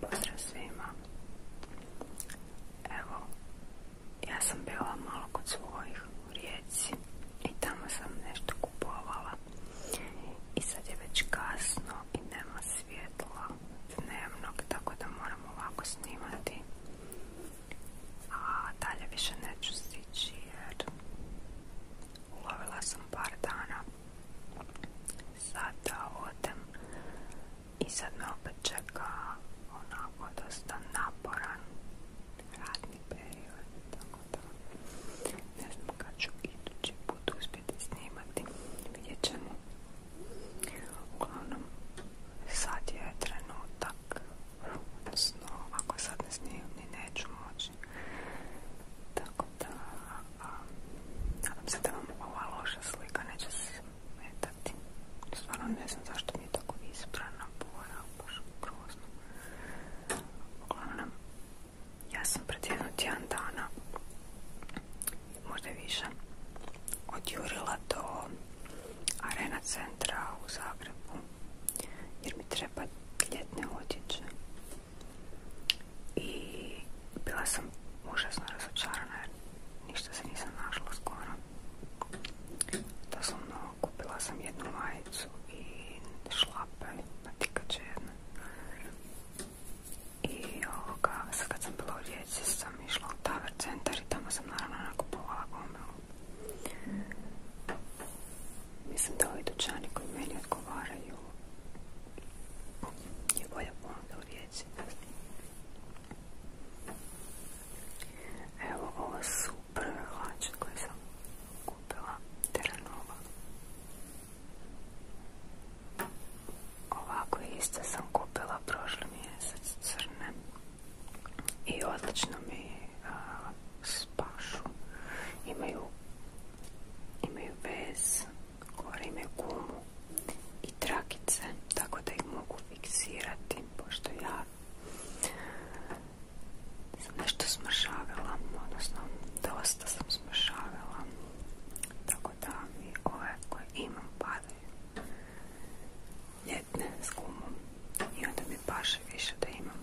Pozdrav svima. Evo, ja sam bila malo kod svojih u Rijeci i tamo sam nešto kupovala. I sad je već kasno i nema svjetla dnevnog, tako da moramo ovako snimati. A dalje više neću stići jer ulovila sam par dana sada odem i sad me opet čeka onako dosta naporan radni period tako da ne znam kad ću idući put uspjeti snimati vidjet ćemo uglavnom sad je trenutak odnosno ako sad ne snimam ni neću moći tako da, nadam se da vam ova loša slika neće se smetati. Stvarno ne znam zašto mi je tako izbrana boja, baš grozno. Uglavnom, ja sam pred jedno tjedan dana, možda više, odjurila do Arena centra u Zagrebu jer mi treba ljetne odjeće i bila sam užasno razočarana jer ništa se nisam našla skoro. Doslovno kupila sam jednu majicu i šlape, natikače jedne. I ovoga, sad kad sam bila u Rijeci sam išla u Tower centar i tamo sam naravno nakupovala gomilu. Mislim da ovi dućani koji meni odgovaraju je bolja ponuda u riječi. Evo, ovo su prve hlače koje sam kupila, Teranova. Ovako iste sam kupila prošli mjesec crne i odlično mi a, pašu. Imaju, imaju vez, gore gumu i trakice, tako da ih mogu fiksirati, pošto ja sam nešto smršavila, odnosno dosta sam smršavila, tako da mi ovaj koje imam padaju ljetne s gumom i onda mi paše više da imam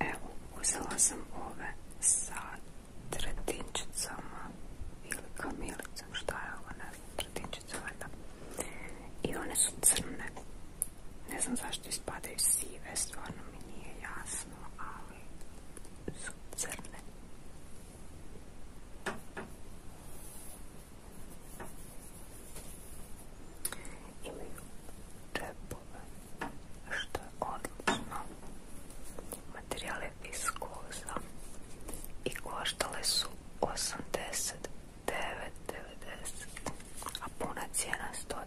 Evo, uzela sam ove sa tretinčicama ili kamilicom, šta je ovo, ne I one su crne. Ne znam zašto ispadaju sive, stvarno mi nije jasno, ali su crne imaju džepove, što je odlično. Materijal je i koštale su 89,90, a puna cijena 119,90.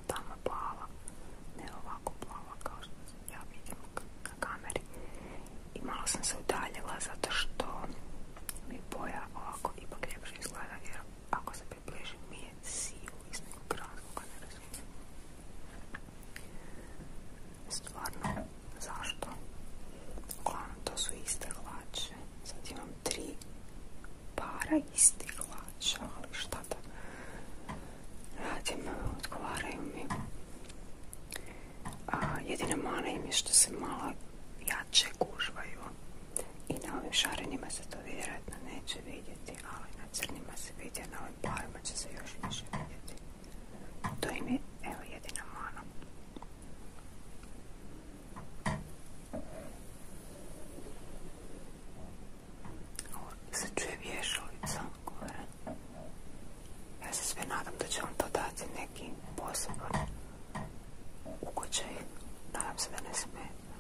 a tamo plava, ne ovako plava kao što ja vidim na kameri. I malo sam se udaljila zato što mi boja ovako ipak ljepše izgleda jer ako se približim mi je sivu iz nekog razloga, ne razumijem. Stvarno, zašto? Uglavnom, to su iste hlače. Sad imam tri para istih hlača, ali šta da radim, odgovaraju mi. A, jedina mana im je što se malo jače gužvaju i na ovim šarenima se to vjerojatno neće vidjeti, ali na crnima se vidi, a na ovim parima će se još više vidjeti. To im je, jedina mana se čuje vješalica gore. Ja se sve nadam da će on to dati neki poseban ugođaj. Nadam se da ne smeta.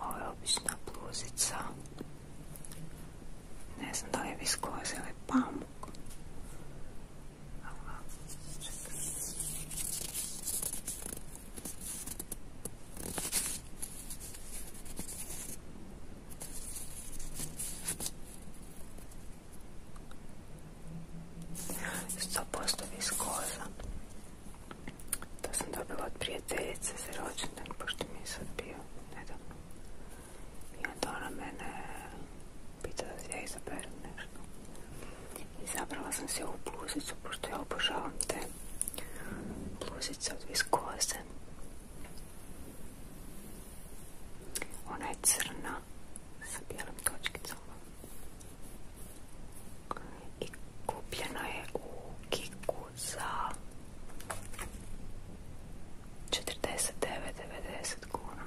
Ovo je obična bluzica. Ne znam da li je viskoza ili pamuk. Oh well, check this. Sto To sam dobila od prijateljice za rođendan, pošto mi je sad bio nedavno. I onda ona pitala da ja izaberem nešto. Izabrala sam se ovu bluzicu, pošto ja obožavam te bluzice od viskoze. Ona je crna sa bijelim točkicom. I kupljena je u Kiku za 49,90 kuna.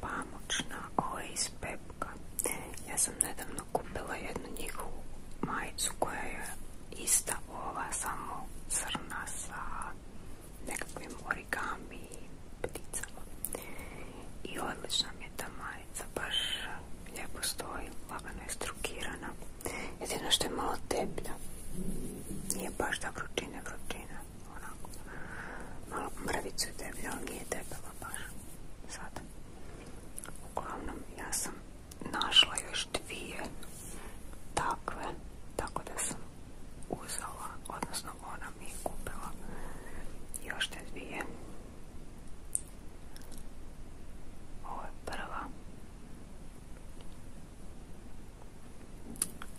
pamučna, ovo iz Pepka. Ja sam nedavno kupila jednu njihovu majicu koja je ista ova, samo crna sa nekakvim origami pticama. I odlična mi je ta majica, baš lijepo stoji, lagano je strukirana. Jedino što je malo teplja, nije baš da vrućine onako, malo mrvicu debljologije debela baš sada. Uglavnom, ja sam našla još dvije takve, tako da sam uzela, odnosno ona mi je kupila još te dvije. Ovo je prva.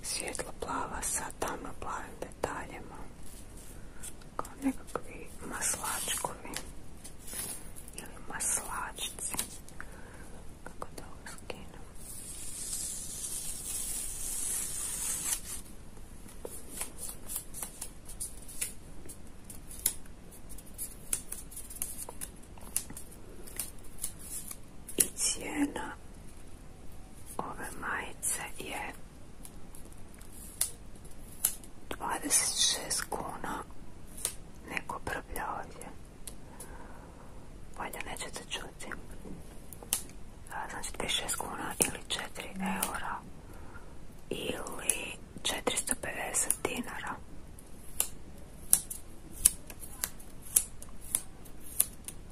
Svjetlo plava sa tamno plavim detaljima kao nekakvi maslačkovi ili maslačci kako da ovo skinem i cijena ove majice je 26 kuna neko brblja ovdje valjda nećete čuti znači 26 kuna ili 4 eura ili 450 dinara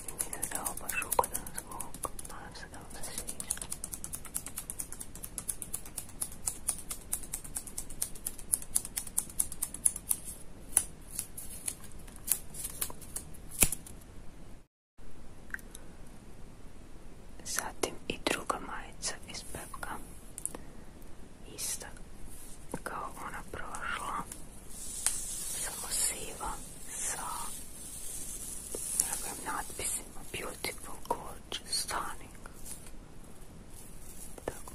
meninas da roupa chuca da smoke, massa da macia. Zatim i druga majica iz pepka, ista kao ona prošla samo siva sa ovim Beautiful, Gorgeous, Stunning. Tako.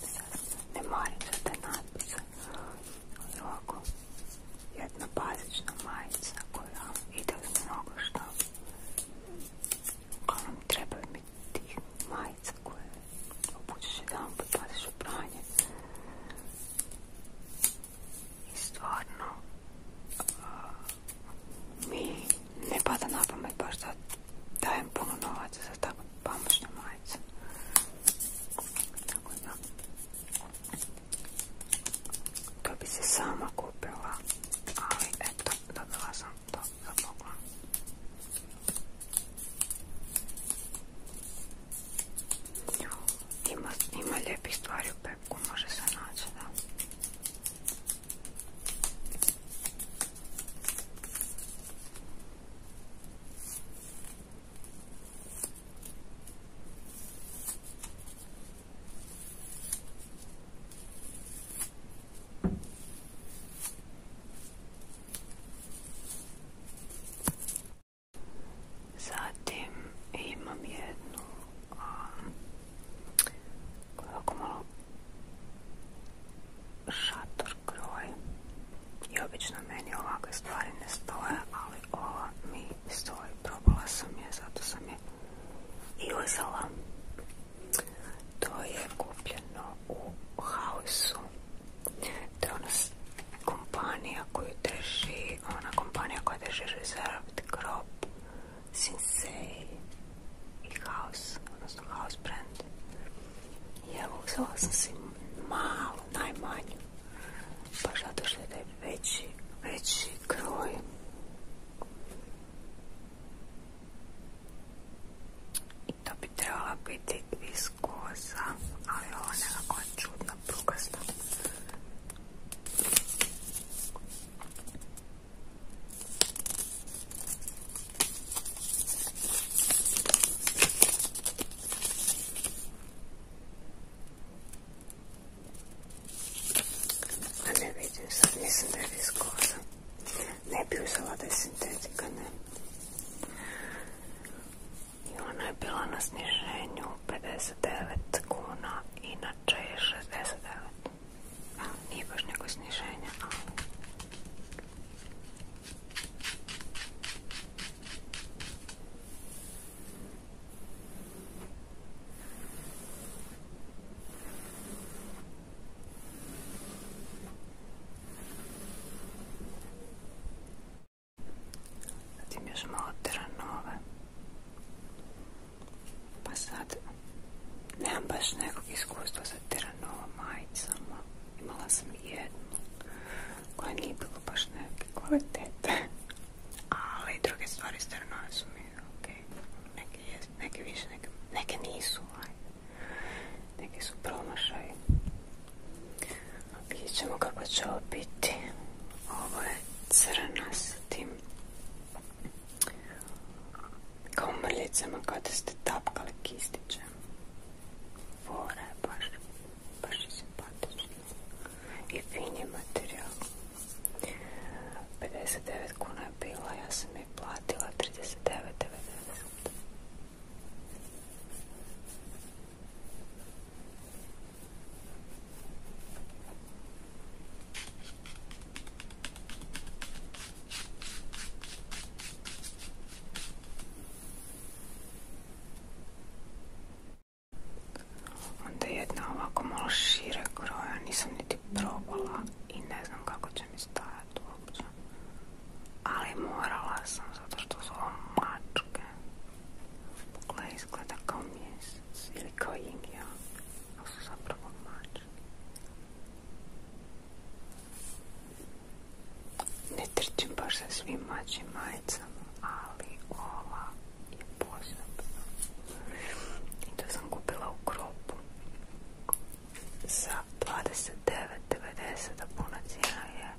Sad ne marim za te Ali ovako, jedna bazična majica koja ide uz mnogo šta. Uglavnom trebaju mi tih koje i stvarno mi ne pada na pamet baš da dajem puno novaca za tako pamučne majice. Tako da, to bi se sama kupila, ali eto, dobila sam to za ima, ima lijepih stvari u pepku, može se naći, da. Zatim imam jednu koja je malo šator kroj i obično meni ovakve stvari ne stoje, ali ova mi stoji. Probala sam je, zato sam je i uzela. To je kupljeno u hausu to je ona kompanija ona kompanija koja drži Reserved, Crop, Sensei i House, odnosno House brand. I evo, uzela sam si malu, najmanju, pa zato što je veći, veći kroj. I to bi trebala biti iz iz koza, ali ovo je nekako čudna prugasta. A ne vidim sad, mislim da je viskoza. Ne bi uzela da je sintetika, ne i ona je bila na sniženju 59 kuna, inače je 69. nije baš neko sniženje, zatim još malo teranove pa sad nemam baš nekog iskustva sa teranova majicama imala sam jednu koja nije bilo baš neke kvalitete ali druge stvari s teranove su mi ok neke, neke više, neke, nisu neke su promašaj Vidjet ćemo kako će ovo biti. Ovo je crna tim kao mrljicama kada ste tapkali kistiće. Fora je baš, baš je simpatično. I fin je materijal. 59 kuna je bila, ja sam je platila 39,90. Onda jedna ovako malo šire kroja, nisam niti probala i ne znam kako će mi stajati uopće. Ali morala sam zato što su ovo mačke. Pogledaj izgleda kao mjesec ili kao yin yang, ali su zapravo mačke. Ne trčim baš sa svim mačim majicama, ali ova je posebna. I to sam kupila u kropu za 29.90, a puna cijena je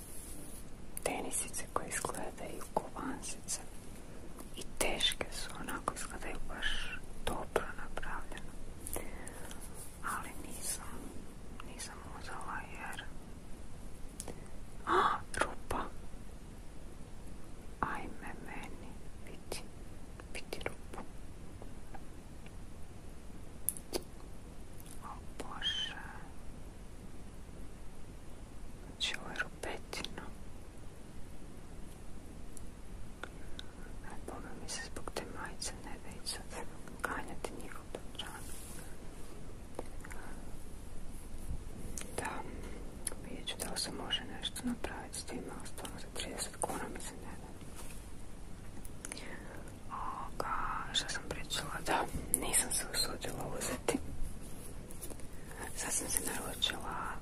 tenisice koje izgledaju kovansice i teške su, onako izgledaju baš dobro napravljeno ali nisam nisam uzela jer a, rupa ajme meni vidi, vidi rupu Znači ovo je rupetina. Aj, mi se zbog te majice ne da i sad ganjati njihov dobran. Da, vidjet ću da li se može nešto napraviti s tim, ali stvarno za 30 kuna mi se ne da. Oga, šta sam pričala, da, nisam se usudila uzeti. Sad sam se naručila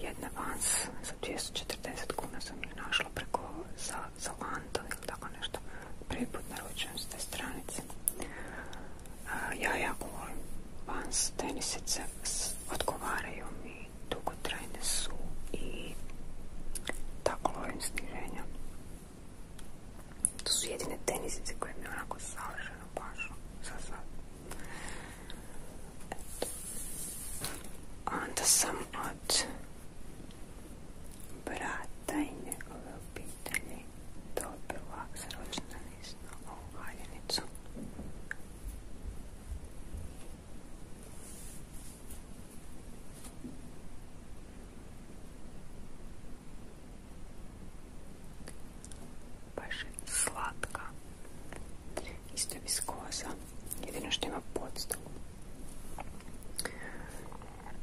jedna vans za 240 kuna sam ju našla preko za, za ili tako nešto. Prvi put naručujem s te stranice. ja jako volim vans, tenisice odgovaraju mi, dugotrajne su i tako lovim sniženja. To su jedine tenisice koje mi onako savršeno pašu za sad. Eto. Onda sam od brata i njegove obitelji dobila sročna lista ovu valjenicu. Baš je slatka. Isto je viskoza. Jedino što ima podstavu.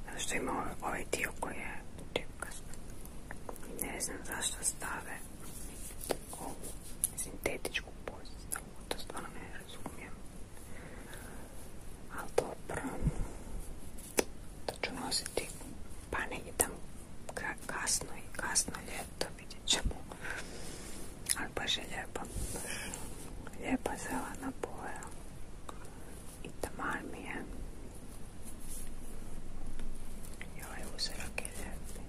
Zato što ima ovaj, ovaj dio koji je Ne znam zašto stave ovu sintetičku podstavu. To stvarno ne razumijem. Ali dobro to ću nositi pa negdje tamo kasno i kasno ljeto vidjet ćemo ali baš je lijepa lijepa zelena boja i tamar mi je i ovaj uzorak je lijepi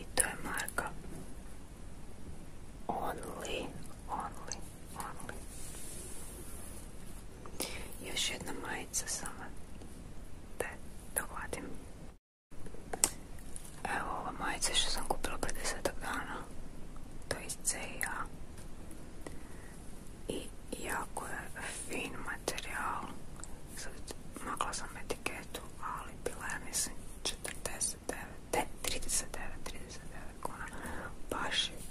i to je marka Only only, only. Još jedna majica sama. Da, da uvadim. Evo ova majica što sam kupila pred desetak dana. To je iz CIA. I jako je fin materijal. Sad makla sam etiketu, ali bila je mislim 49, 39, 39 kuna. Baš je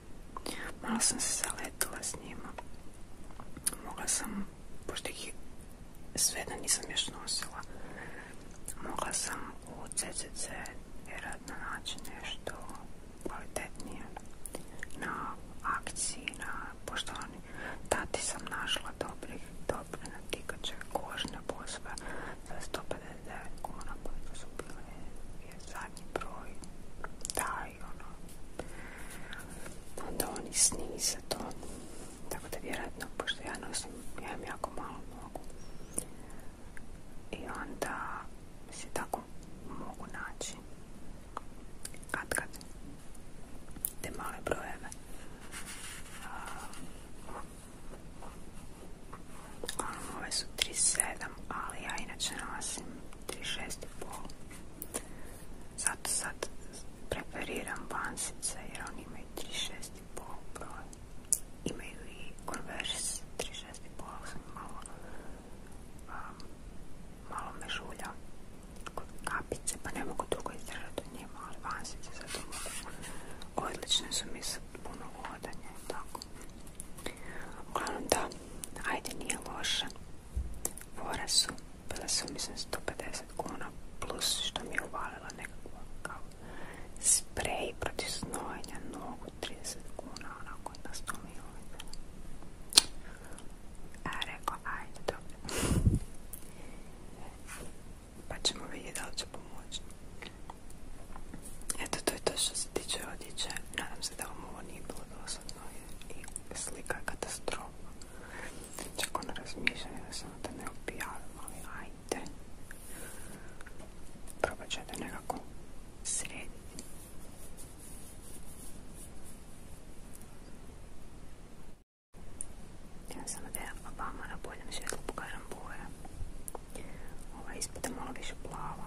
Malo sam se zaletila s njima. Mogla sam, pošto ih sve da nisam još nosila, mogla sam u CCC vjerojatno naći nešto kvalitetnije na akciji, na poštovani. Tati sam našla dobrih, dobre natikače, kožne bozve, za 159 kuna, koliko su bile, je zadnji broj, taj, ono, onda oni snize to, tako da vjerojatno, pošto ja nosim, ja imam jako malo nogu, i onda se tako mogu naći, kad kad, te male brojeve. Ove su 37, ali ja inače nosim 36,5. Zato sad prepariram bansice jer oni imaju 36,5 broj. Imaju i Converse 36,5, ali sam malo, um, malo me žulja kod kapice, pa ne mogu drugo izdržati od njima, ali bansice sad Odlične su mi sa puno vodanja i tako. Uglavnom da, ajde nije loše. Fore su, bile su mislim 150 kuna plus što mi je uvalila nekako kao sprej proti snojenja nogu 30 kuna, onako kod nas to mi A e, rekao, ajde, dobro. pa ćemo vidjeti da li će pomoći. Eto, to je to što se tiče odjeće. Nadam se da vam ovo nije bilo dosadno i slika je katastrofa. Čak ono razmišljanje da samo da ne objavim, ali ajde. Probat ću nekako srediti. Ja sam vama na boljem svjetlu pokažem boje. Ova ispod je malo više plava.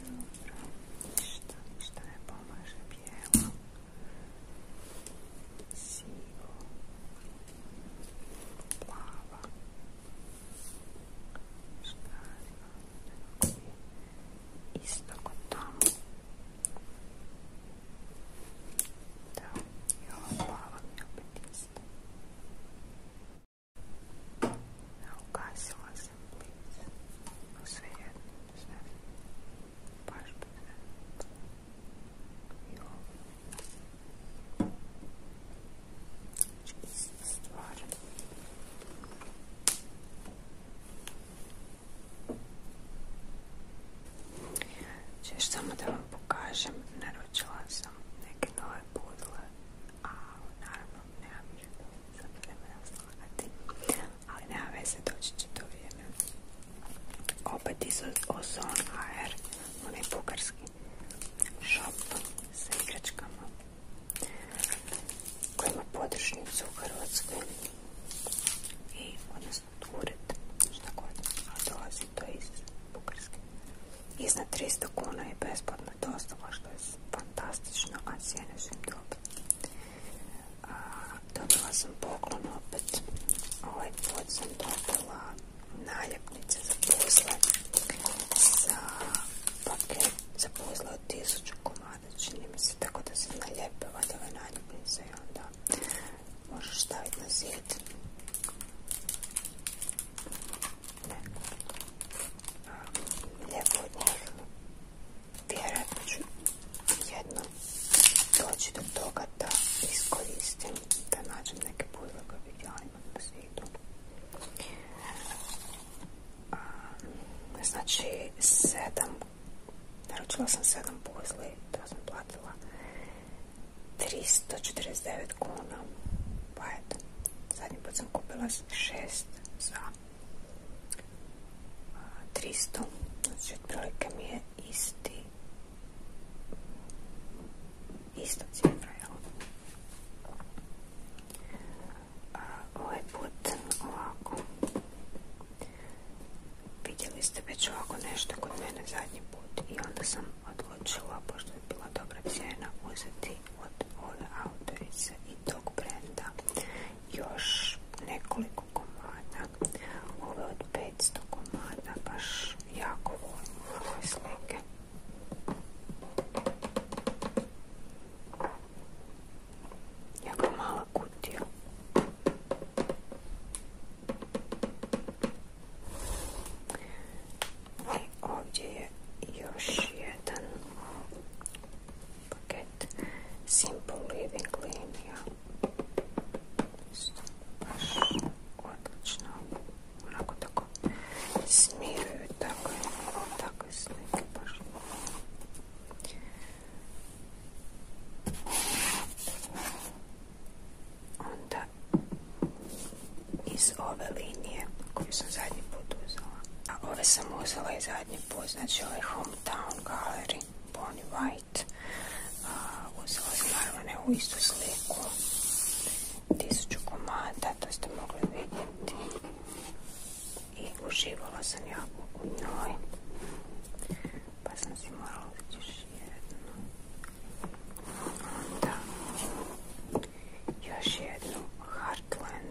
Dobro, ništa, ne pomaže, bijelo, sivo, plava, šta je isto kod tamo, Da, i ova plava mi se blizu. sve. Baš I ovo. stvar. Češ samo da vam pokažem, naručila sam neke nove pudle, a naravno nemam ali nema veze, doći će to vrijeme. Opet iz onaj bugarski shop ima u Hrvatskoj i odnosno dolazi to iz Bugarske. Iznad 300 kuna je besplatna dostava što je fantastično, a cijene su im dobila sam poklon opet. Ovaj put sam dobila naljepnice za puzle. sa paket za puzle od tisuću komada, čini mi se. Tako da se naljepe ove naljepnice i onda možeš staviti na zid. Ne. Lijepo od njih vjerojatno ću jedno doći do toga da iskoristim, da nađem neke pozla koje bih na svijetu. Znači, sedam, naručila sam sedam puzli, to sam platila 349 kuna, pa eto, zadnji put sam kupila šest za 300. Znači, otprilike mi je isti isto cifra, jel? Ovaj put ovako. Vidjeli ste već ovako nešto kod mene zadnji put i onda sam odlučila, pošto je bila dobra cijena, uzeti biti od Autorice i tog brenda još nekoliko komada. Ove od 500 komada, baš jako volim slike. Jako mala kutija. I ovdje je još jedan paket Simple Living linija. Isto baš odlično. Onako tako smiruju tako takve slike baš. Onda iz ove linije koju sam zadnji put uzela a ove sam uzela i zadnji put, znači ovaj Hometown Gallery, Bonnie White. A, uzela sam naravno u istu sliku, tisuću komada, to ste mogli vidjeti. I uživala sam ja u njoj. Pa sam si morala uzeti još jednu. Onda još jednu Heartland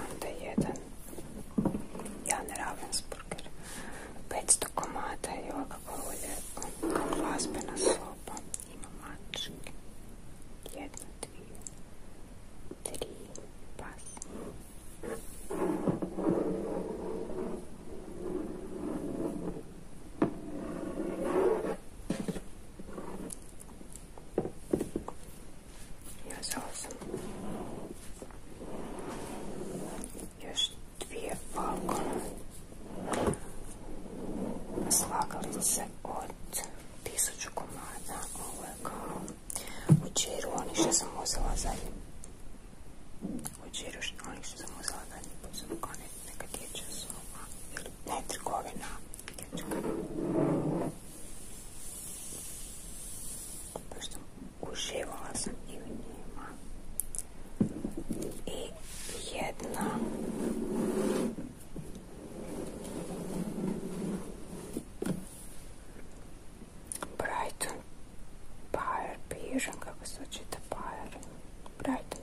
onda jedan Jan Ravensburger 500 komada i ovako kao glazbena ima tri pas He was Još dvije balkona se od tisuću komada. Ovo je kao u oni sam uzela zadnji. U džiru, oni sam uzela ili ne Pošto uživala sam i u njima. I jedna... Brighton kako se očita Brighton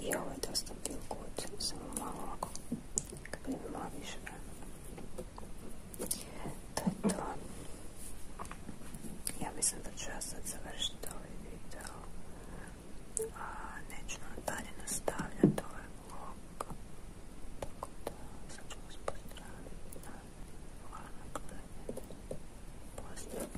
i ovo je dosta bio kuć, samo malo ovako, kako bi imala više vremena. To je to. Ja mislim da ću ja sad završiti ovaj video. A, neću nam dalje nastavljati ovaj vlog. Tako da, sad ću vas pozdraviti. Hvala na gledanje. Pozdrav.